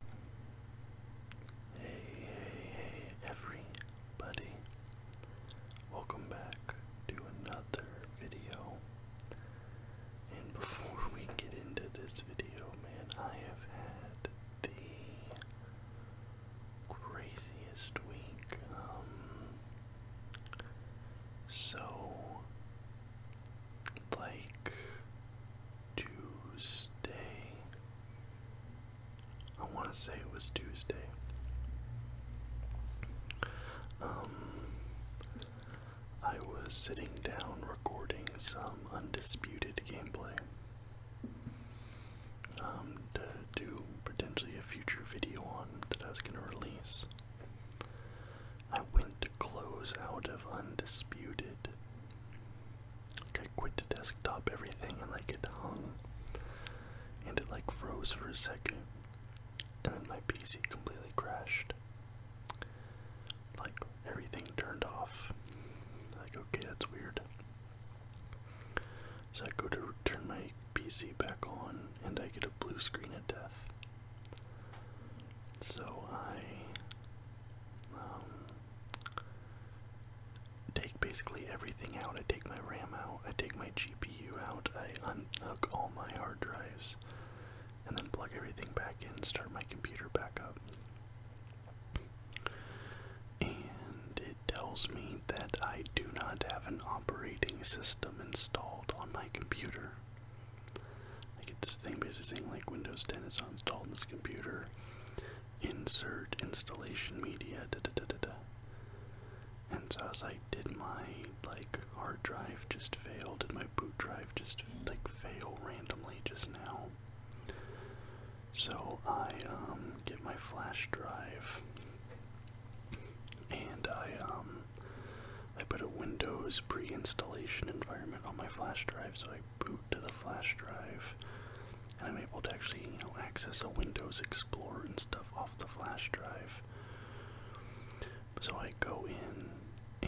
Hey, hey, hey, everybody. Welcome back to another video. And before we get into this video, man, I have had the craziest week. Um, so, like, Tuesday. I want to say it was Tuesday. Um, I was sitting down recording some undisputed gameplay. Um, to do potentially a future video on that I was gonna release. I went to close out of Undisputed like I quit the desktop everything and like it hung and it like froze for a second and then my PC completely crashed. Like everything turned off. Like okay that's weird. So I go to turn my PC back on and I get a blue screen of death. So I um, take basically everything out. I take my RAM out, I take my GPU out, I unhook all my hard drives, and then plug everything back in, start my computer back up. And it tells me that I do not have an operating system installed on my computer. I get this thing basically saying like Windows 10 is installed on this computer. Insert installation media. And so as I did my like hard drive just fail? Did my boot drive just like fail randomly just now? So I um, get my flash drive and I um, I put a Windows pre-installation environment on my flash drive so I boot to the flash drive, and I'm able to actually, you know, access a Windows Explorer and stuff off the flash drive. So I go in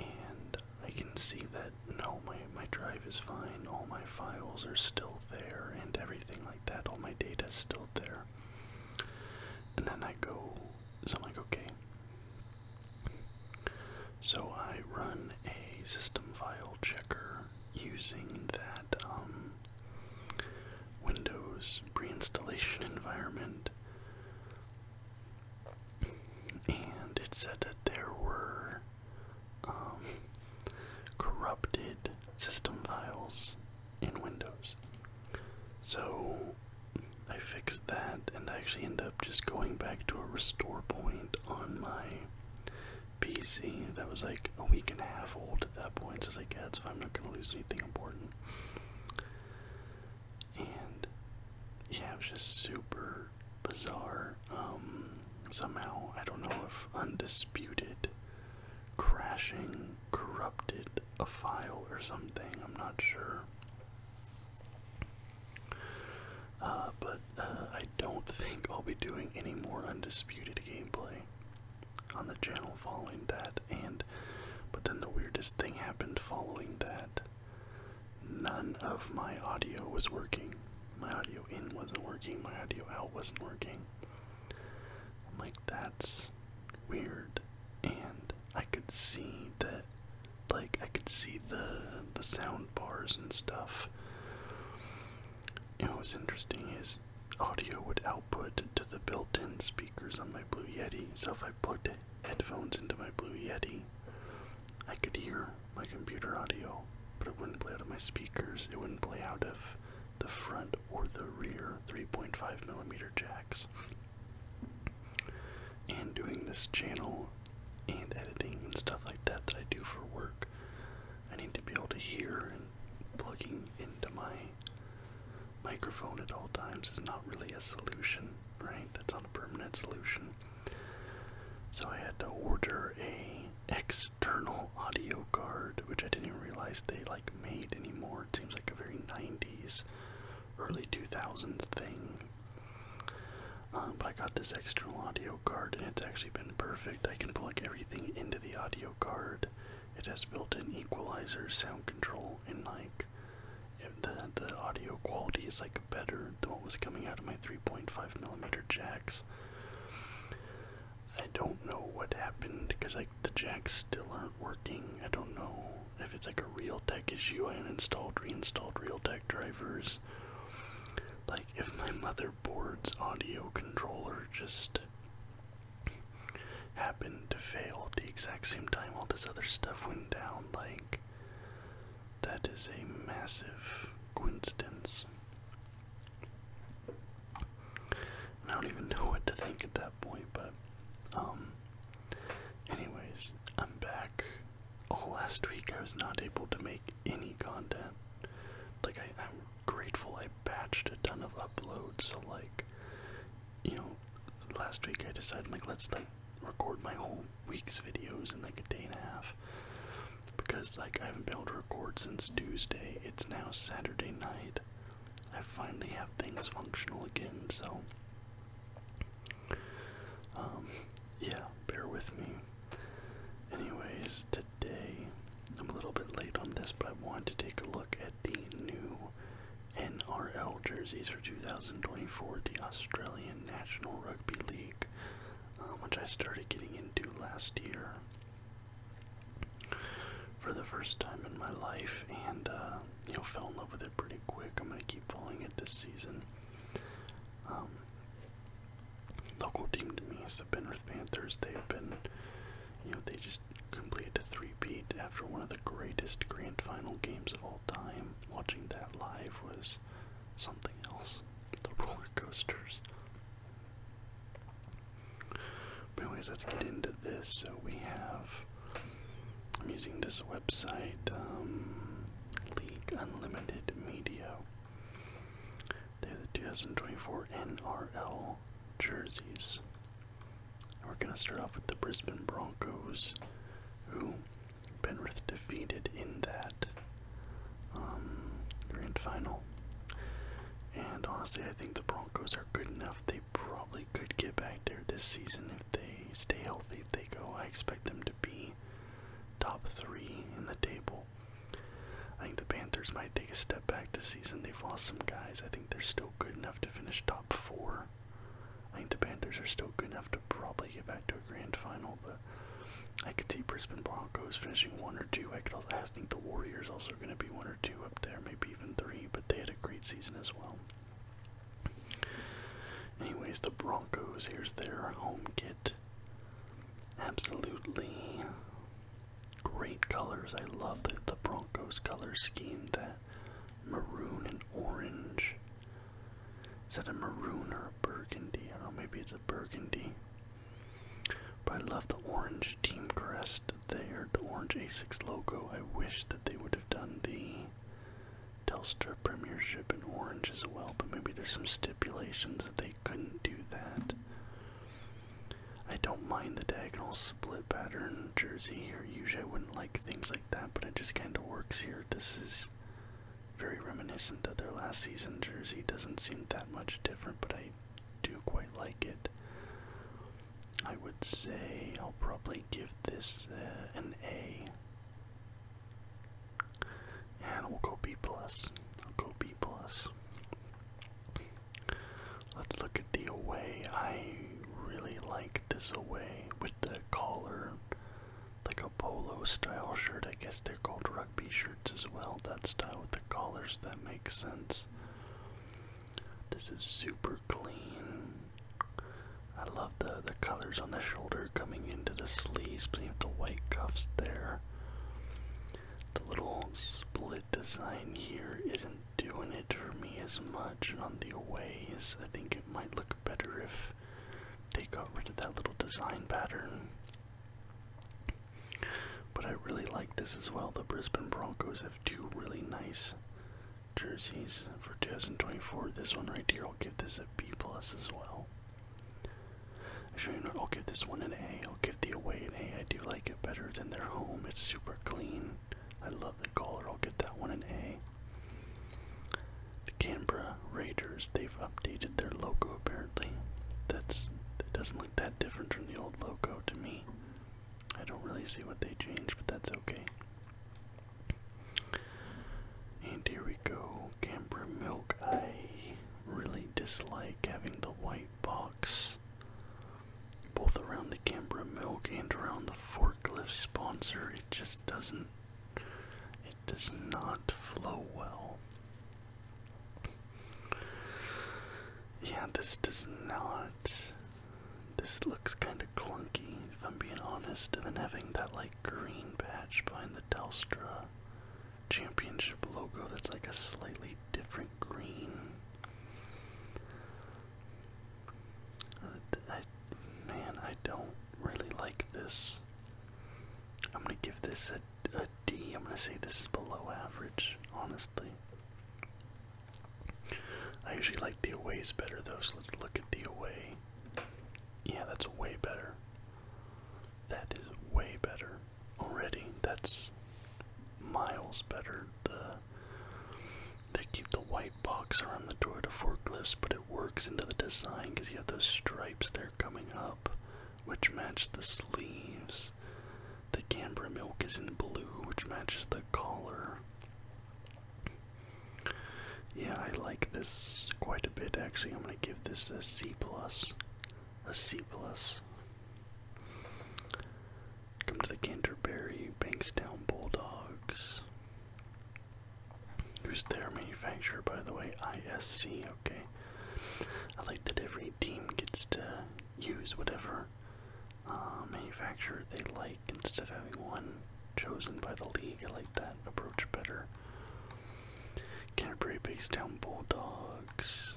and I can see that no, my, my drive is fine, all my files are still there and everything like that, all my data is still there. And then I go, so I'm like, okay, so I run a system file checker using that um, Windows pre-installation environment, and it said that there were um, corrupted system files in Windows. So I fixed that, and I actually end up just going back to a restore point on my PC that was like a week and a half old at that point. So I was like, I'm not gonna lose anything important. And yeah, it was just super bizarre. Um, somehow I don't know if undisputed crashing corrupted a file or something. I'm not sure. Uh, but uh, I don't think I'll be doing any more undisputed gameplay on the channel following that. And but then the weirdest thing happened following that. None of my audio was working. My audio in wasn't working. My audio out wasn't working. I'm like, that's weird. And I could see that like I could see the the sound bars and stuff. You know, what's interesting is audio would output to the built-in speakers on my Blue Yeti. So if I plugged headphones into my Blue Yeti, I could hear my computer audio, but it wouldn't play out of my speakers. It wouldn't play out of the front or the rear 3.5 millimeter jacks. And doing this channel and editing and stuff like that that I do for work, I need to be able to hear and plugging into my microphone at all times is not really a solution, right? That's not a permanent solution. So I had to order a external audio card, which I didn't even realize they like made anymore. It seems like a very 90s, early 2000s thing, um, but I got this external audio card, and it's actually been perfect. I can plug everything into the audio card. It has built-in equalizer, sound control, and like the the audio quality is like better than what was coming out of my 3.5 millimeter jacks. I don't know what happened because like the jacks still aren't working. I don't know if it's like a realtek issue. I uninstalled, reinstalled realtek drivers like, if my motherboard's audio controller just happened to fail at the exact same time all this other stuff went down, like, that is a massive coincidence. I don't even know what to think at that point, but, um, anyways, I'm back all last week I was not able to make any content. Like I, am grateful I batched a ton of uploads, so like you know, last week I decided like let's like record my whole week's videos in like a day and a half. Because like I haven't been able to record since Tuesday. It's now Saturday night. I finally have things functional again, so um, yeah, bear with me. Anyways, today I'm a little bit late on this, but I want to take a look at the new NRL jerseys for 2024, the Australian National Rugby League, um, which I started getting into last year for the first time in my life, and uh, you know, fell in love with it pretty quick. I'm gonna keep following it this season. Um, local team to me the Panthers. They've been, you know, they just completed a three-peat after one of the greatest grand final games of all time. Watching that live was something else. The roller coasters. But anyways, let's get into this. So we have. I'm using this website, um, League Unlimited Media. They have the 2024 NRL jerseys. we're going to start off with the Brisbane Broncos, who Penrith defeated in that um, grand final. And honestly, I think the Broncos are good enough. They probably could get back there this season if they stay healthy. they go, I expect them to be top three in the table. I think the Panthers might take a step back this season. They've lost some guys. I think they're still good enough to finish top four. I think the Panthers are still good enough to probably get back to a grand final, but I could see Brisbane Broncos finishing one or two. I could also I think the Warriors also going to be one or two up there, maybe even three. But they had a great season as well. Anyways, the Broncos, here's their home kit. Absolutely great colors. I love the, Broncos color scheme, that maroon and orange. Is that a maroon or a burgundy? I don't know, maybe it's a burgundy. But I love the orange team crest there, the orange A6 logo. I wish that they would have done the Telstra Premiership in Orange as well, but maybe there's some stipulations that they couldn't do that. I don't mind the diagonal split pattern jersey here. Usually I wouldn't like things like that, but it just kind of works here. This is very reminiscent of their last season jersey. Doesn't seem that much different, but I do quite like it. I would say I'll probably give this uh, an A. And we'll go B plus. we will go B plus. Let's look at the away. I really like this away with the collar, like a polo style shirt. I guess they're called rugby shirts as well. That style with the collars, that makes sense. This is super clean. I love the the colors on the shoulder coming into the sleeves beneath the white cuffs there. The little split design here isn't doing it for me as much on the aways. I think it might look better if they got rid of that little design pattern. But I really like this as well. The Brisbane Broncos have two really nice jerseys for 2024. This one right here, I'll give this a B plus as well. I'll give this one an A. I'll give the away an A. I do like it better than their home. It's super clean. I love the color. I'll get that one an A. The Canberra Raiders. They've updated their logo apparently. That's it doesn't look that different from the old logo to me. I don't really see what they changed, but that's okay. And here we go, Camber Milk. I really dislike having the white box both around the Canberra Milk and around the forklift sponsor. It just doesn't, it does not flow well. Yeah, this does not. This looks kind of clunky, if I'm being honest. And then having that, like, green patch behind the Delstra championship logo that's like a slightly different green. Uh, I, man, I don't really like this. I'm gonna give this a, a D. I'm gonna say this is below average, honestly. I usually like the aways better though, so let's look at the away. Yeah, that's way better. That is way better already. That's miles better. they keep the white box around the door to forklifts, but it works into the design because you have those stripes there coming up, which match the sleeves. The Canberra milk is in blue, which matches the collar. Yeah, I like this quite a bit actually. I'm going to give this a C plus. A C plus. Come to the Canterbury Bankstown Bulldogs. Who's their manufacturer, by the way? ISC, okay. I like that every team gets to use whatever uh, manufacturer they like instead of having one chosen by the league. I like that approach better. Canterbury Bankstown Bulldogs.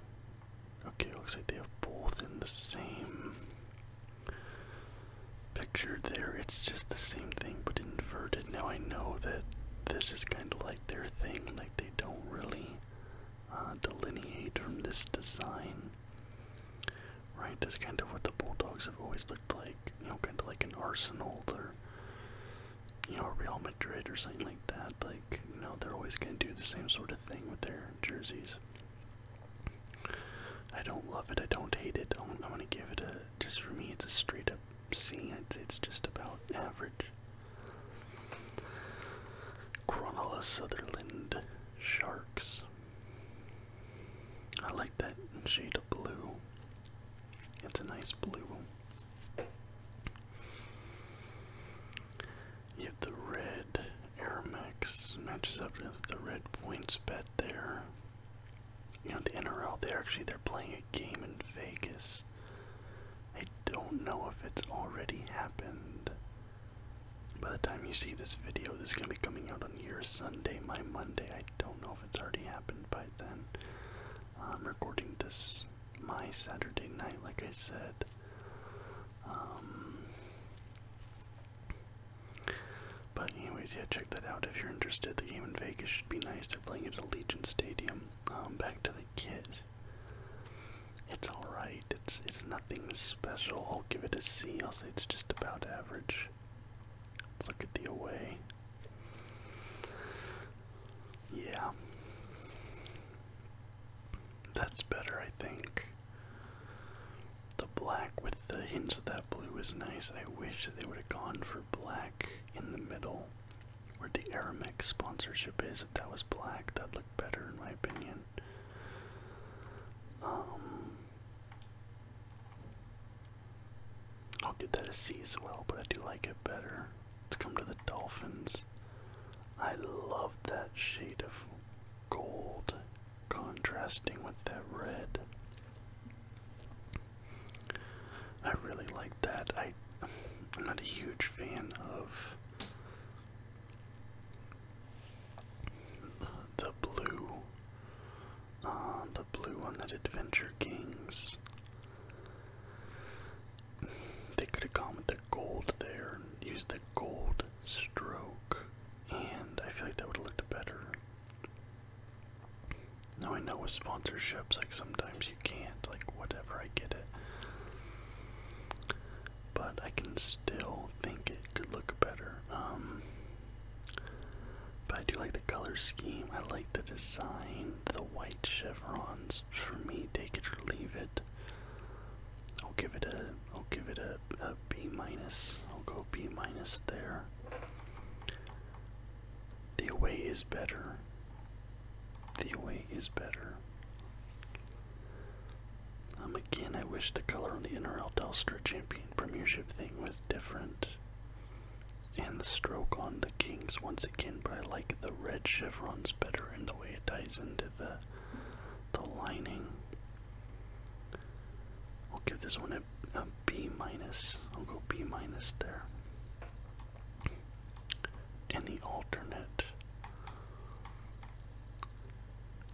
Okay, looks like they have both in the same picture there. It's just the same thing but inverted. Now I know that this is kind of like their thing, like they don't really uh, delineate from this design. Right, Is kind of what the Bulldogs have always looked like you know, kind of like an Arsenal or you know Real Madrid or something like that. Like you know, they're always gonna do the same sort of thing with their jerseys. I don't love it. I don't hate it. I'm, I'm gonna give it a just for me. It's a straight up C. It's, it's just about average. Cronulla Sutherland Sharks. I like that shade of blue. It's a nice blue. You have the red Air Max matches up with the red points bet there. You have the NRL there. actually they're playing a game in Vegas. I don't know if it's already happened. By the time you see this video, this is gonna be coming out on your Sunday, my Monday. I don't know if it's already happened by then. I'm recording this my Saturday night, like I said. Um, but anyways, yeah, check that out if you're interested. The game in Vegas should be nice. They're playing it at Allegiant Stadium. Um, back to the kit. It's alright. It's it's nothing special. I'll give it a C. I'll say it's just about average. Let's look at the away. Yeah. That's better, I think. The black with the hints of that blue is nice. I wish they would have gone for black in the middle where the Aramex sponsorship is. that was black, that looked better in my opinion. Um, I'll give that a C as well, but I do like it better. Let's come to the Dolphins. I love that shade of gold contrasting with that red. I really like that. I, am not a huge fan of the blue uh, the blue one that Adventure Kings. They could have gone with the gold there and used the gold stroke, and I feel like that would have looked better. Now I know with sponsorships, like sometimes you can't, like whatever, I get it. But I can still think it could look better. Um, but I do like the color scheme. I like the design, the white chevrons. For me, take it or leave it. I'll give it a I'll give it a, a B minus. I'll go B minus there. The away is better. The away is better. I'm um, again, I wish the color on the NRL Telstra Champion Premiership thing was different. And the stroke on the kings once again, but I like the red chevrons better and the way it ties into the the lining. I'll give this one a B minus. I'll go B minus there. And the alternate.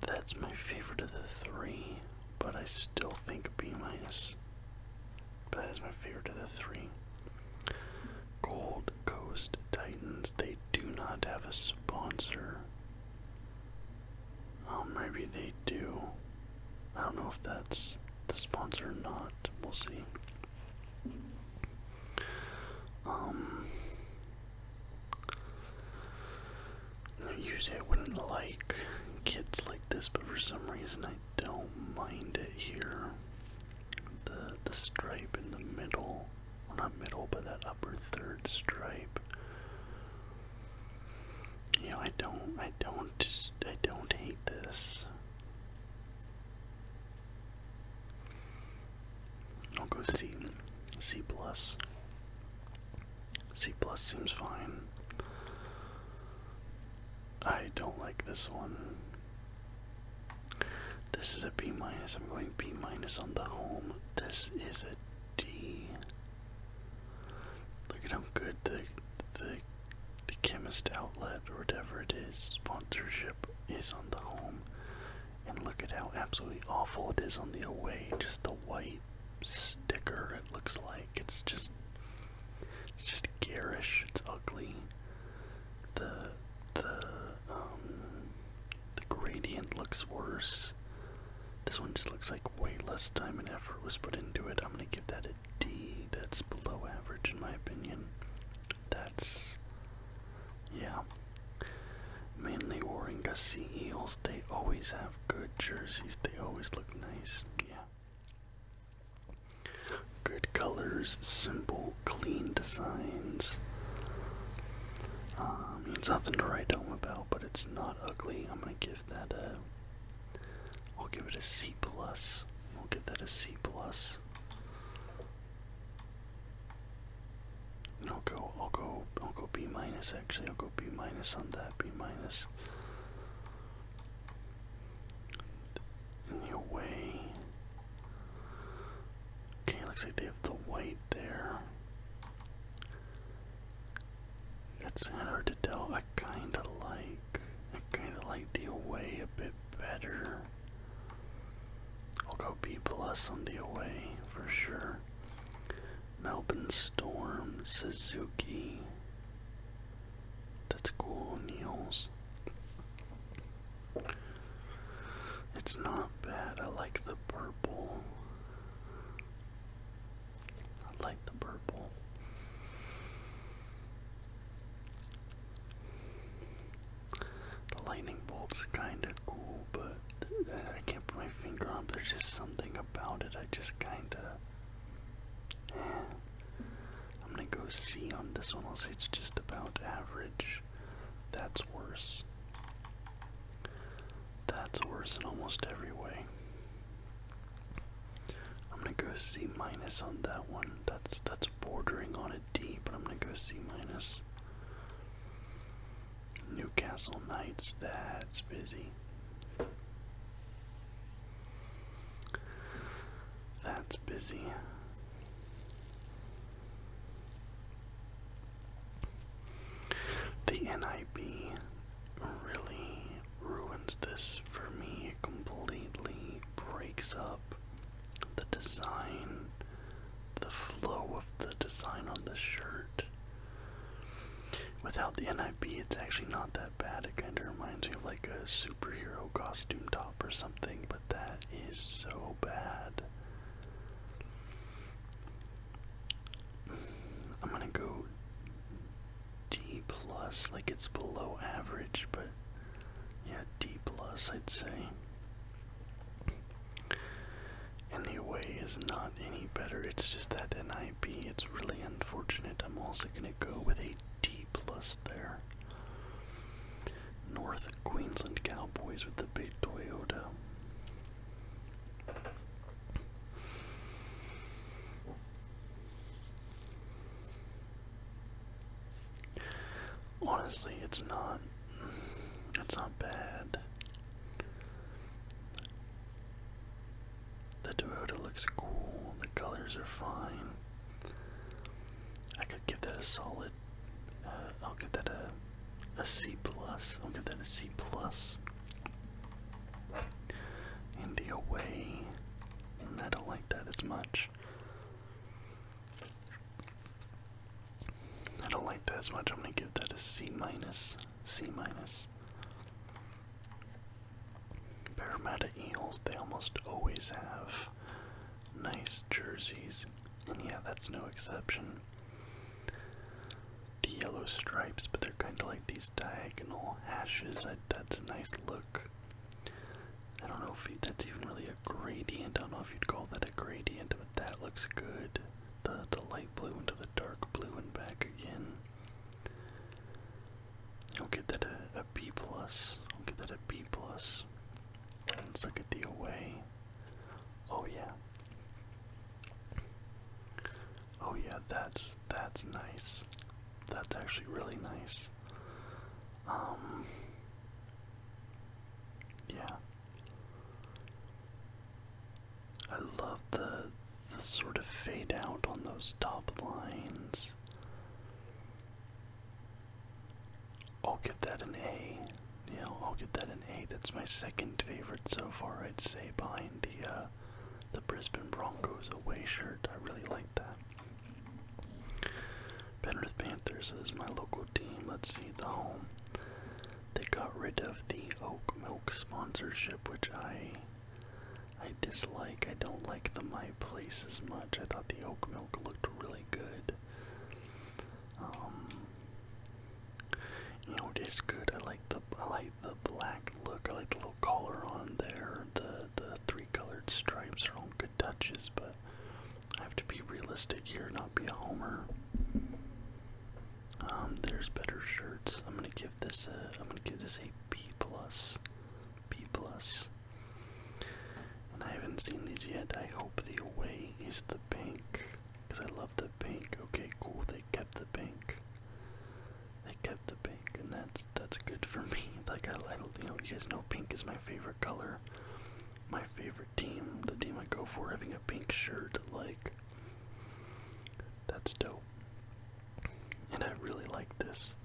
That's my favorite of the three but I still think B minus. That is my favorite of the three. Gold Coast Titans. They do not have a sponsor. Oh, maybe they do. I don't know if that's the sponsor or not. We'll see. Um. Usually I wouldn't like kids like this, but for some reason I don't mind it here. The the stripe in the middle, well not middle, but that upper third stripe. You know, I don't, I don't, I don't hate this. I'll go C, C plus. C plus seems fine. I don't like this one. This is a B minus. I'm going B minus on the home. This is a D. Look at how good the the the chemist outlet or whatever it is sponsorship is on the home, and look at how absolutely awful it is on the away. Just the white sticker it looks like it's just it's just garish it's ugly the the um the gradient looks worse this one just looks like way less time and effort was put into it i'm gonna give that a d that's below average in my opinion that's yeah mainly warring sea eels they always have good jerseys. They always look nice. Yeah. Good colors, simple, clean designs. Um, it's nothing to write home about, but it's not ugly. I'm gonna give that a. I'll give it a C plus. We'll give that a C plus. And I'll go, I'll go, I'll go B minus. Actually, I'll go B minus on that. B minus. The your way. Okay, looks like they have the white there. That's hard to tell. I kinda like I kinda like the away a bit better. I'll go B plus on the away for sure. Miller, Melbourne Storm, Suzuki. That's cool, Niels. It's not bad. I like the purple. I like the purple. The lightning bolt's kinda cool, but I can't put my finger on. There's just something about it. I just kinda I'm gonna go C on this one. I'll say it's just about average. That's worse. That's worse in almost every way. I'm gonna go C minus on that one. That's that's bordering on a D, but I'm gonna go C minus. Newcastle Knights, that's busy. That's busy. The NIB really ruins this for me. It completely breaks up the design, the flow of the design on the shirt. Without the NIB, it's actually not that bad. It kind of reminds me of like a superhero costume top or something, but that is so bad. I'm gonna go D plus, like it's below average, but yeah, D plus I'd say. And the away is not any better. It's just that NIB. It's really unfortunate. I'm also going to go with a D plus there. North Queensland Cowboys with the big Toyota. Honestly, it's not. It's not bad. The Toyota looks cool, the colors are fine. I could give that a solid. Uh, I'll give that a a C plus. I'll give that a C plus. And the away, mm, I don't like that as much. I don't like that as much. I'm gonna give that a C minus. C minus. Parramatta Eels, they almost always have nice jerseys, and yeah, that's no exception. The yellow stripes, but they're kind of like these diagonal hashes. that's a nice look. I don't know if that's even really a gradient. I don't know if you'd call that a gradient, but that looks good. the light blue into the dark blue and back again. I'll give that a, a B plus. I'll give that a B plus. It's like a D away. Oh yeah. Oh yeah, that's that's nice. That's actually really nice. Um yeah. I love the the sort of fade out on those top lines. I'll give that an A. Yeah, I'll give that an A. That's my second favorite so far, I'd say, behind the uh, the Brisbane Broncos away shirt. I really like that. Penrith Panthers is my local team. Let's see the home. They got rid of the oat milk sponsorship, which I I dislike. I don't like the my place as much. I thought the oat milk looked really good. Um, you know, it is good. I like the I like the black look. I like the little collar on there. The the three colored stripes are all good touches, but I have to be realistic here, not be a homer. Um, there's better shirts. I'm gonna give this a. I'm gonna give this a B plus. B plus. And I haven't seen these yet. I hope the away is the pink, cause I love the pink. Okay, cool. They kept the pink. They kept the pink, and that's that's good for me. Like I, I you you guys know pink is my favorite color. My favorite team, the team I go for, having a pink shirt, like that's dope. And I really like this.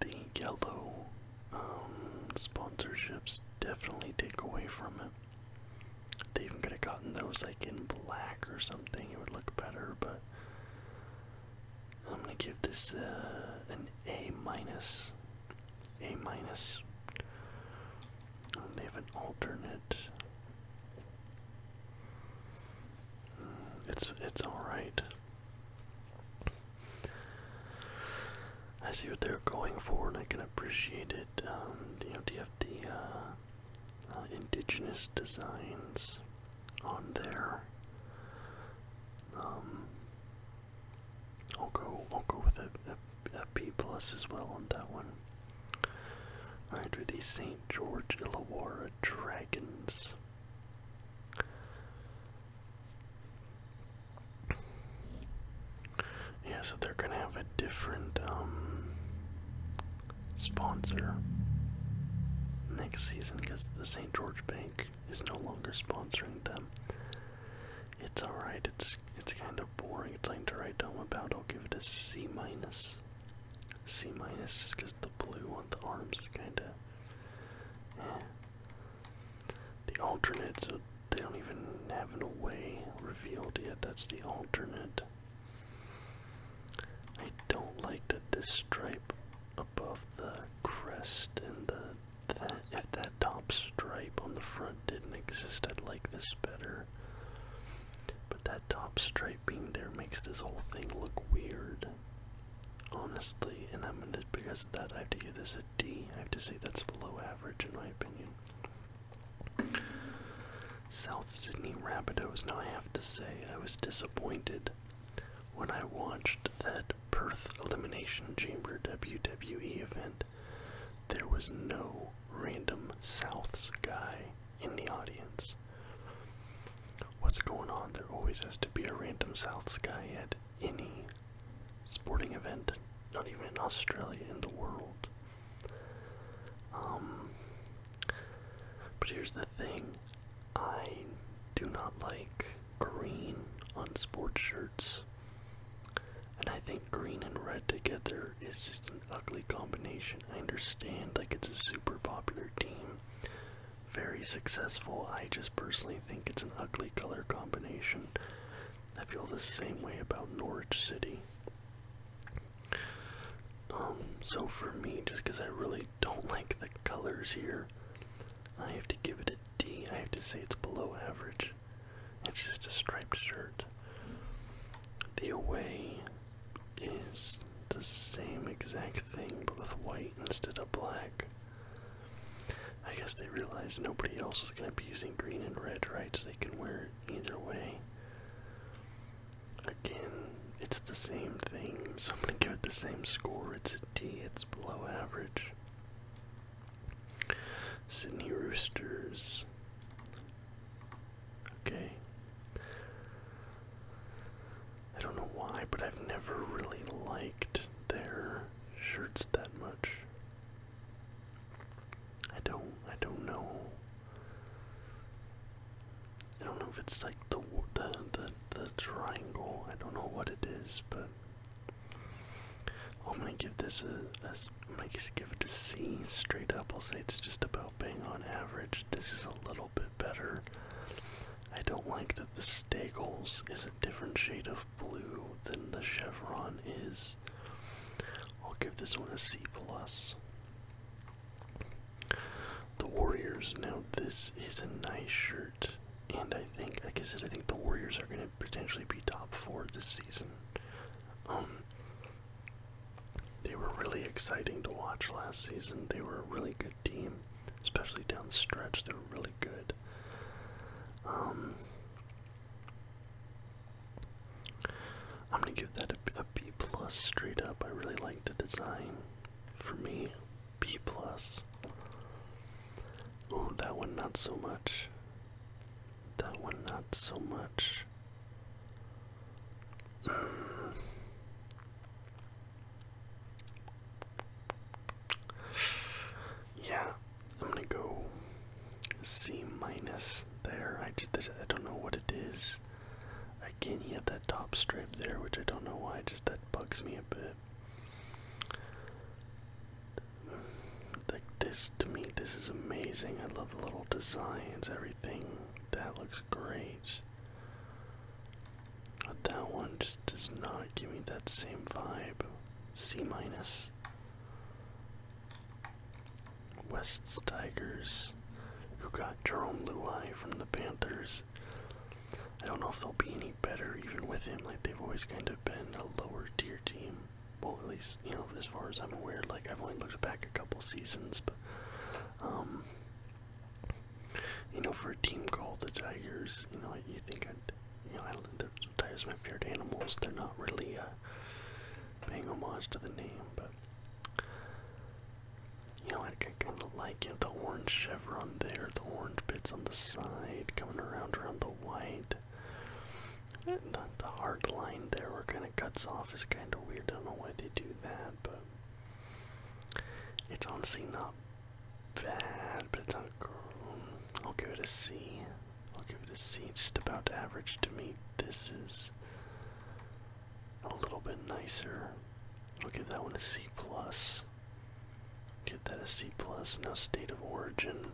The yellow um, sponsorships definitely take away from it. They even could have gotten those like in black or something, it would look better, but I'm gonna give this uh, an A minus. A minus. Um, they have an alternate. It's it's all right. I see what they're going for, and I can appreciate it. Um, you know, do you have the uh, uh, indigenous designs on there? Um, I'll go. I'll go with a, a, a B plus as well on that one. Alright, with the St. George Illawarra Dragons. Yeah, so they're gonna have a different um, sponsor next season because the St. George Bank is no longer sponsoring them. It's alright, it's it's kind of boring. It's time to write home about. I'll give it a C minus. C minus just because the blue on the arms is kind of. The alternate, so they don't even have an away revealed yet. That's the alternate. I don't like that this stripe above the crest and the that if that top stripe on the front didn't exist, I'd like this better. But that top stripe being there makes this whole thing look weird. Honestly, and I'm gonna because of that I have to give this a D. I have to say that's below average in my opinion. South Sydney Rabbitohs. Now I have to say I was disappointed when I watched that Perth Elimination Chamber WWE event. There was no random Souths guy in the audience. What's going on? There always has to be a random South guy at any sporting event, not even in Australia, in the world. Um, but here's the thing I do not like green on sports shirts. And I think green and red together is just ugly combination. I understand, like, it's a super popular team, very successful. I just personally think it's an ugly color combination. I feel the same way about Norwich City. Um, so for me, just because I really don't like the colors here, I have to give it a D. I have to say it's below average. It's just a striped shirt. The away is the same exact thing but with white instead of black. I guess they realize nobody else is going to be using green and red, right? So they can wear it either way. Again, it's the same thing, so I'm going to give it the same score. It's a D, it's below average. Sydney Roosters Okay. I don't know why, but I've never really liked their shirts that much. I don't I don't know. I don't know if it's like the the the, triangle. I don't know what it is, but I'm gonna give this a just might just give it a C straight up. I'll say it's just about bang on average. This is a little bit better. I don't like that the Stagels is a different shade of blue than the Chevron is. I'll give this one a C plus. The Warriors. Now this is a nice shirt, and I think, like I said, I think the Warriors are going to potentially be top four this season. Um, they were really exciting to watch last season. They were a really good team, especially down the stretch. They were really good. Um, I'm gonna give that a, a B plus straight up. I really like the design. For me, B plus. Oh, that one not so much. That one not so much. Yeah, I'm gonna go C minus there. I don't know what it is. Again, you have that top strip there, which I don't know why. Just that bugs me a bit. Like this this to me this is amazing. I love the little designs, everything. That looks great. But that one just does not give me that same vibe. C minus. West's Tigers, who got Jerome Luai from the Panthers. I don't know if they'll be any better even with him, like they've always kind of been a lower tier team well, at least you know, as far as I'm aware, like I've only looked back a couple seasons, but um, you know, for a team called the Tigers, you know, I, you think i you know, I, the Tigers are my favorite animals. They're not really uh, paying homage to the name, but you know, I, I kind of like you know, the orange chevron there, the orange bits on the side, coming around around the white. The, hard line there where kind of cuts off is kind of weird. I don't know why they do that, but it's honestly not bad, but it's not. I'll give it a C. I'll give it a C. just about average to me. This is a little bit nicer. I'll give that one a C plus. Give that a C plus. Now state of origin.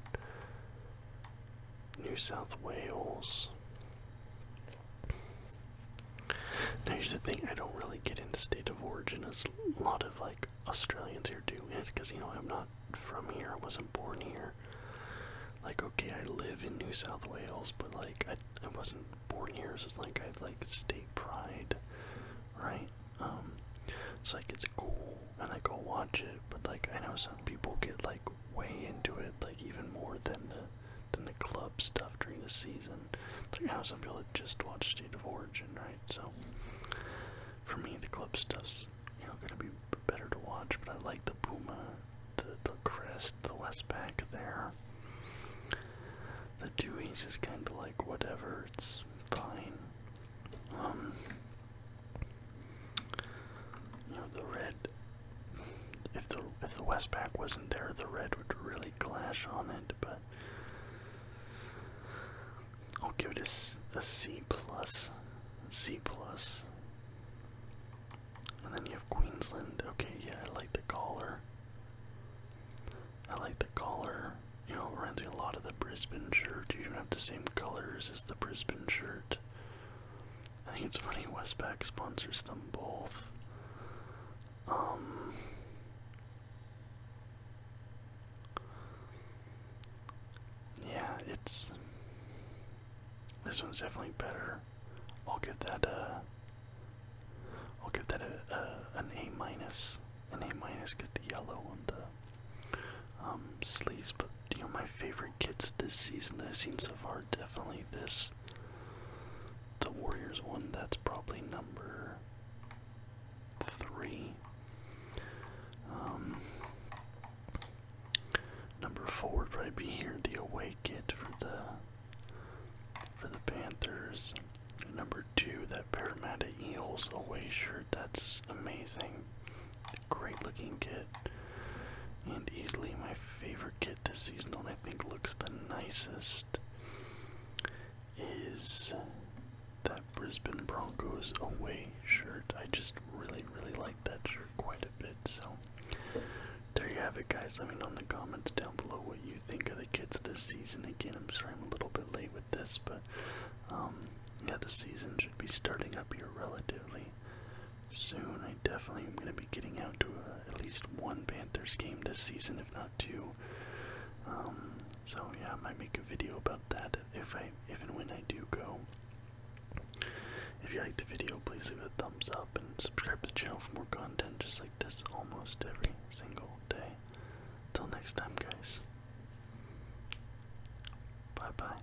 New South Wales. Now here's the thing, I don't really get into state of origin as a lot of like Australians here do, and because you know I'm not from here, I wasn't born here. Like okay, I live in New South Wales, but like I I wasn't born here, so it's like I like state pride, right? Um, it's like it's cool, and I go watch it, but like I know some people get like way into it, like even more than the than the club stuff during the season. It's like how some people that just watch State of Origin, right? So for me, the club stuff's you know gonna be better to watch, but I like the Puma, the the crest, the West Pack there. The Dewey's is kind of like whatever. It's fine. Um, you know, the red. If the if the Westpac wasn't there, the red would really clash on it. But I'll give it a, a C plus, C plus. And then you have Queensland. Okay, yeah, I like the collar. I like the collar. You know, it reminds me a lot of the Brisbane shirt. You even have the same colors as the Brisbane shirt. I think it's funny Westpac sponsors them both. Um, yeah, it's this one's definitely better. I'll give that a I'll give that a, a an A minus, an A minus because the yellow on the um, sleeves, but you know my favorite kits this season that I've seen so far. Definitely this, the Warriors one. That's probably number three. Um, number four would probably be here the away kit for the for the Panthers. Number two, that Parramatta Eels away shirt. That's amazing. Great looking kit. And easily my favorite kit this season, and I think looks the nicest, is that Brisbane Broncos away shirt. I just really, really like that shirt quite a bit. So, there you have it, guys. Let me know in the comments down below what you think of the kits this season. Again, I'm sorry I'm a little bit late with this, but um, yeah, the season should be starting up here relatively soon. I definitely am going to be getting out to uh, at least one Panthers game this season, if not two. Um, so yeah, I might make a video about that if I, if and when I do go. If you liked the video, please leave a thumbs up and subscribe to the channel for more content just like this almost every single day. Till next time, guys. Bye bye.